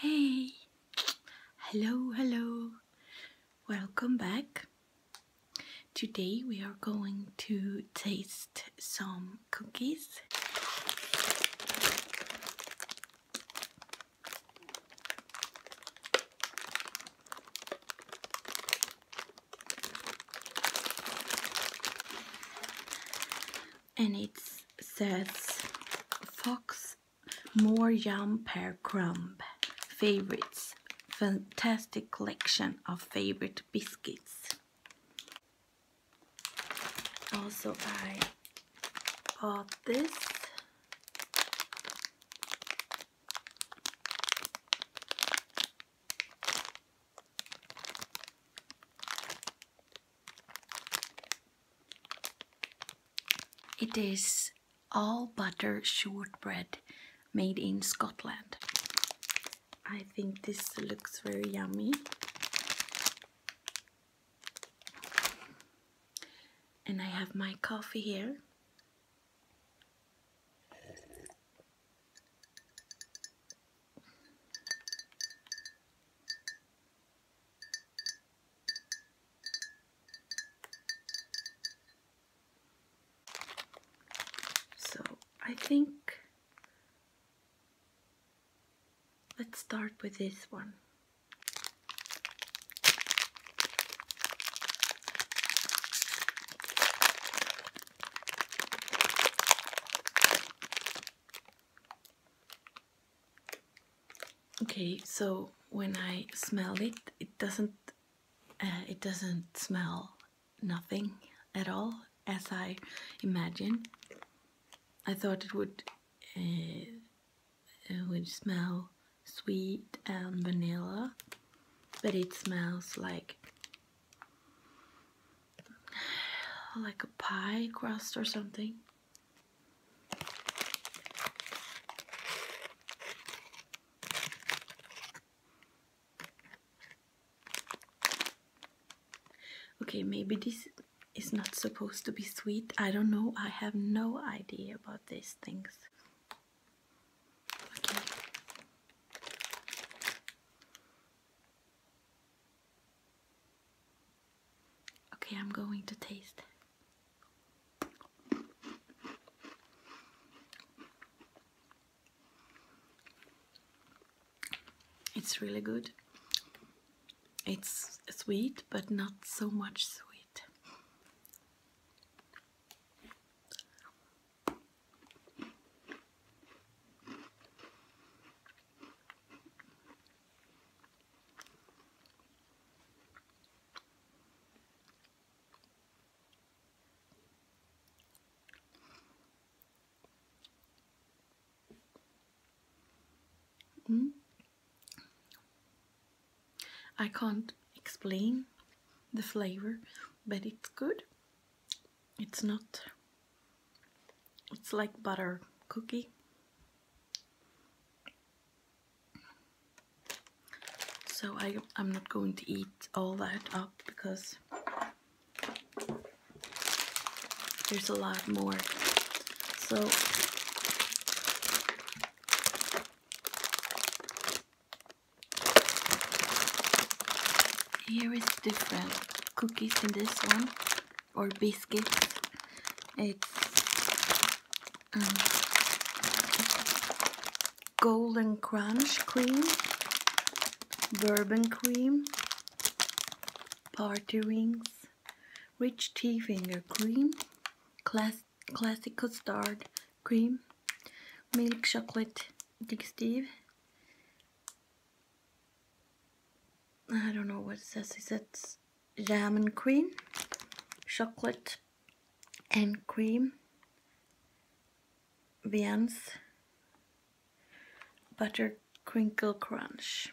Hey, hello, hello, welcome back. Today we are going to taste some cookies and it says fox more yum per crumb favorites fantastic collection of favorite biscuits also I bought this it is all butter shortbread made in Scotland. I think this looks very yummy. And I have my coffee here. So I think let's start with this one. Okay, so when I smell it, it doesn't uh, it doesn't smell nothing at all as I imagined. I thought it would it uh, uh, would smell sweet and vanilla, but it smells like like a pie crust or something. Okay, maybe this is not supposed to be sweet. I don't know. I have no idea about these things. Okay, I'm going to taste. It's really good. It's sweet, but not so much sweet. Mm. I can't explain the flavor, but it's good. It's not it's like butter cookie. So I, I'm not going to eat all that up because there's a lot more. So here is different cookies in this one or biscuit. It's um, golden crunch cream, bourbon cream, party rings, rich tea finger cream, class classic custard cream, milk chocolate digestive, I don't know what it says. It says jam and cream, chocolate and cream, Vian's butter crinkle crunch.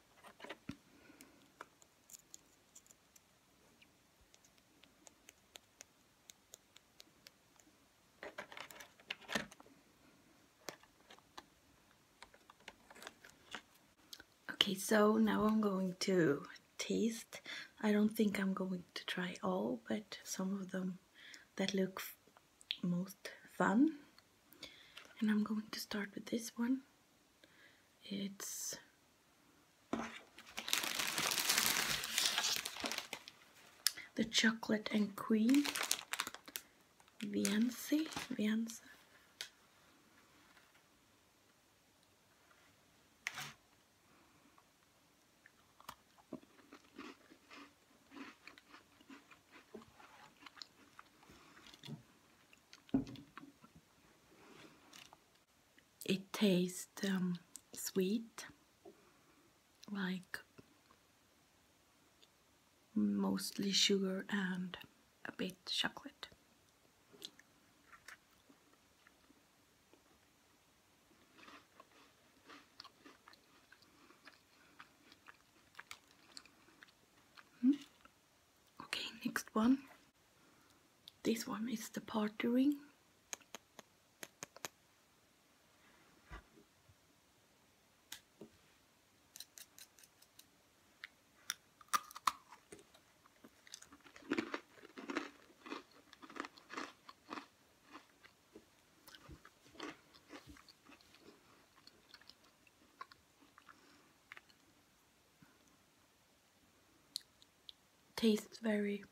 Okay, so now I'm going to taste. I don't think I'm going to try all, but some of them that look most fun. And I'm going to start with this one. It's the Chocolate and Queen Viency, Vienza. It tastes um, sweet, like mostly sugar and a bit chocolate. Hmm? Okay, next one. This one is the party ring tastes very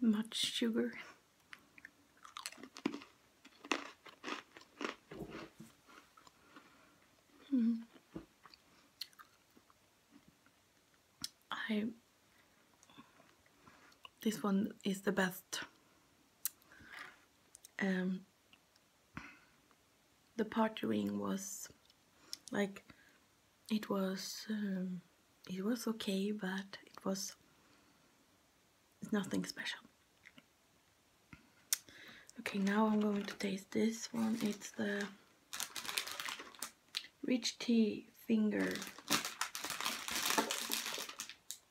much sugar. Hmm. I this one is the best um, the partnering was like it was um, it was okay but it was nothing special okay now I'm going to taste this one it's the rich tea finger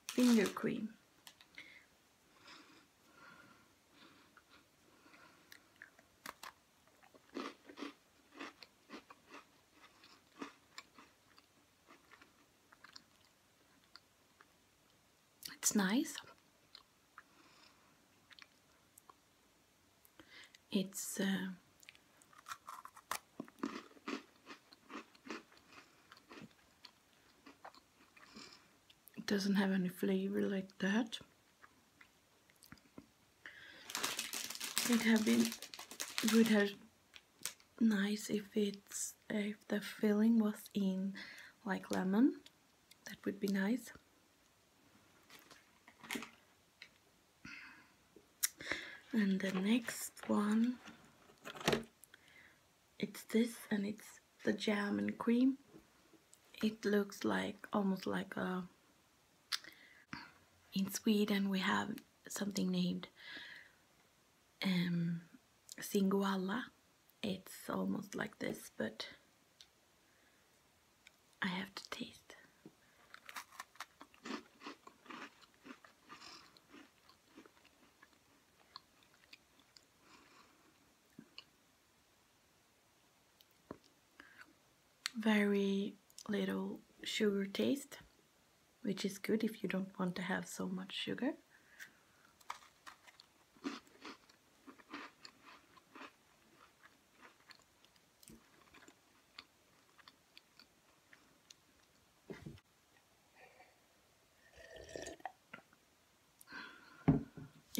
finger cream. It's nice. It's uh, it doesn't have any flavor like that. It would have been would have nice if it's if the filling was in like lemon. That would be nice. And the next one it's this and it's the jam and cream it looks like almost like a uh, in Sweden we have something named um, singoalla it's almost like this but I have to taste very little sugar taste which is good if you don't want to have so much sugar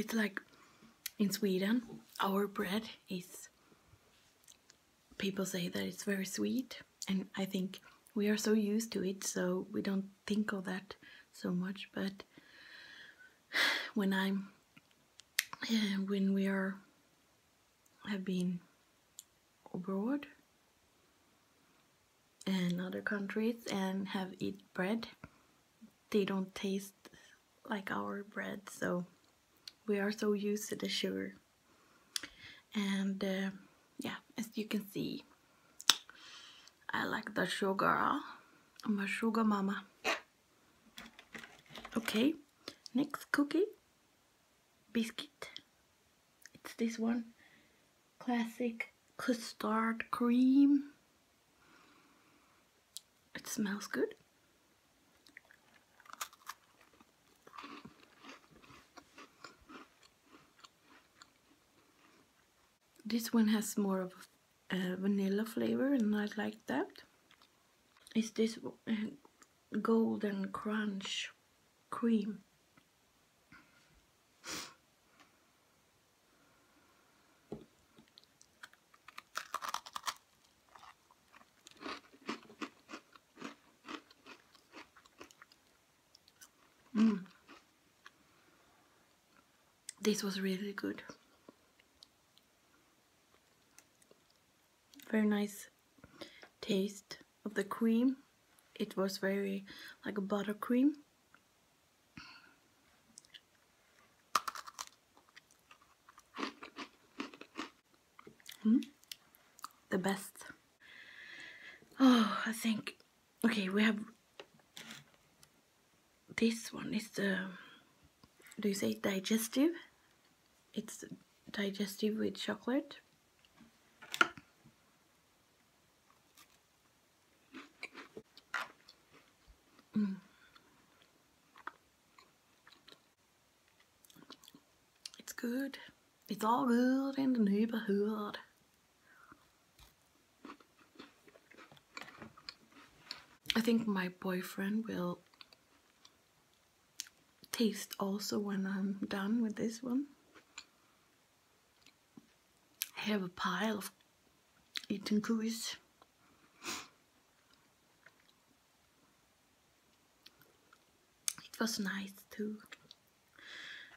it's like in Sweden, our bread is, people say that it's very sweet, and I think we are so used to it, so we don't think of that so much. But when I'm, eh, when we are, have been abroad, and other countries and have eat bread they don't taste like our bread so we are so used to the sugar and uh, yeah as you can see I like the sugar I'm a sugar mama okay next cookie biscuit. It's this one. Classic custard cream. It smells good. This one has more of vanilla flavor and I like that. It's this uh, golden crunch cream. Mm. This was really good. Very nice taste of the cream it was very like a buttercream mm, the best oh I think okay we have this one is the do you say digestive it's digestive with chocolate Mm. It's good. It's all good in the neighborhood. I think my boyfriend will taste also when I'm done with this one. I have a pile of eaten cookies. It was nice too.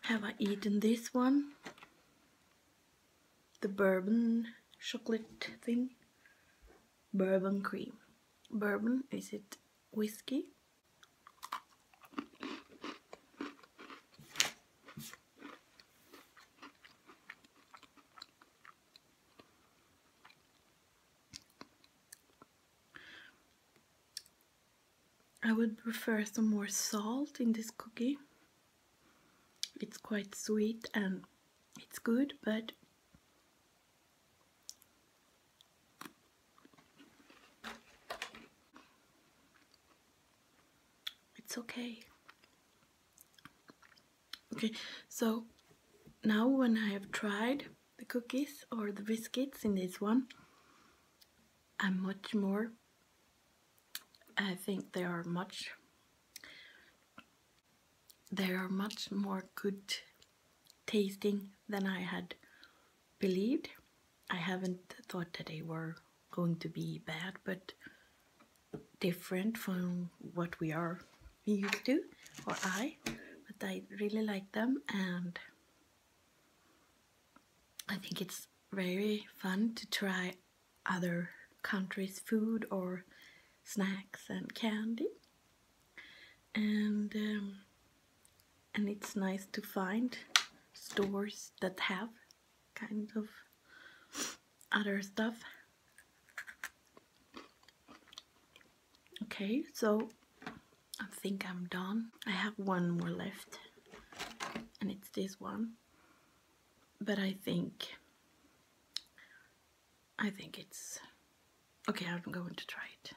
Have I eaten this one? The bourbon chocolate thing. Bourbon cream. Bourbon, is it whiskey? I would prefer some more salt in this cookie. It's quite sweet and it's good, but it's okay. Okay, so now when I have tried the cookies or the biscuits in this one, I'm much more, I think they are much, they are much more good tasting than I had believed. I haven't thought that they were going to be bad, but different from what we are used to, or I. But I really like them, and I think it's very fun to try other countries' food or snacks and candy. And um, and it's nice to find stores that have kind of other stuff okay so I think I'm done I have one more left and it's this one but I think I think it's okay I'm going to try it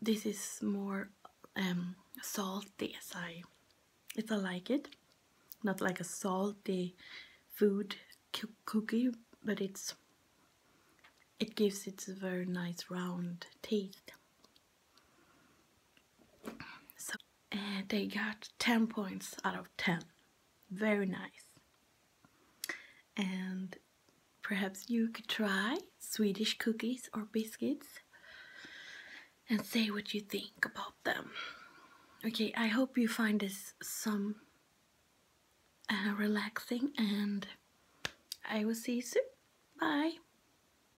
this is more um, salty as I, like it. Not like a salty food cookie, but it's it gives it a very nice round taste. So they got 10 points out of 10. Very nice. And perhaps you could try Swedish cookies or biscuits and say what you think about them. Okay, I hope you find this some uh, relaxing and I will see you soon. Bye!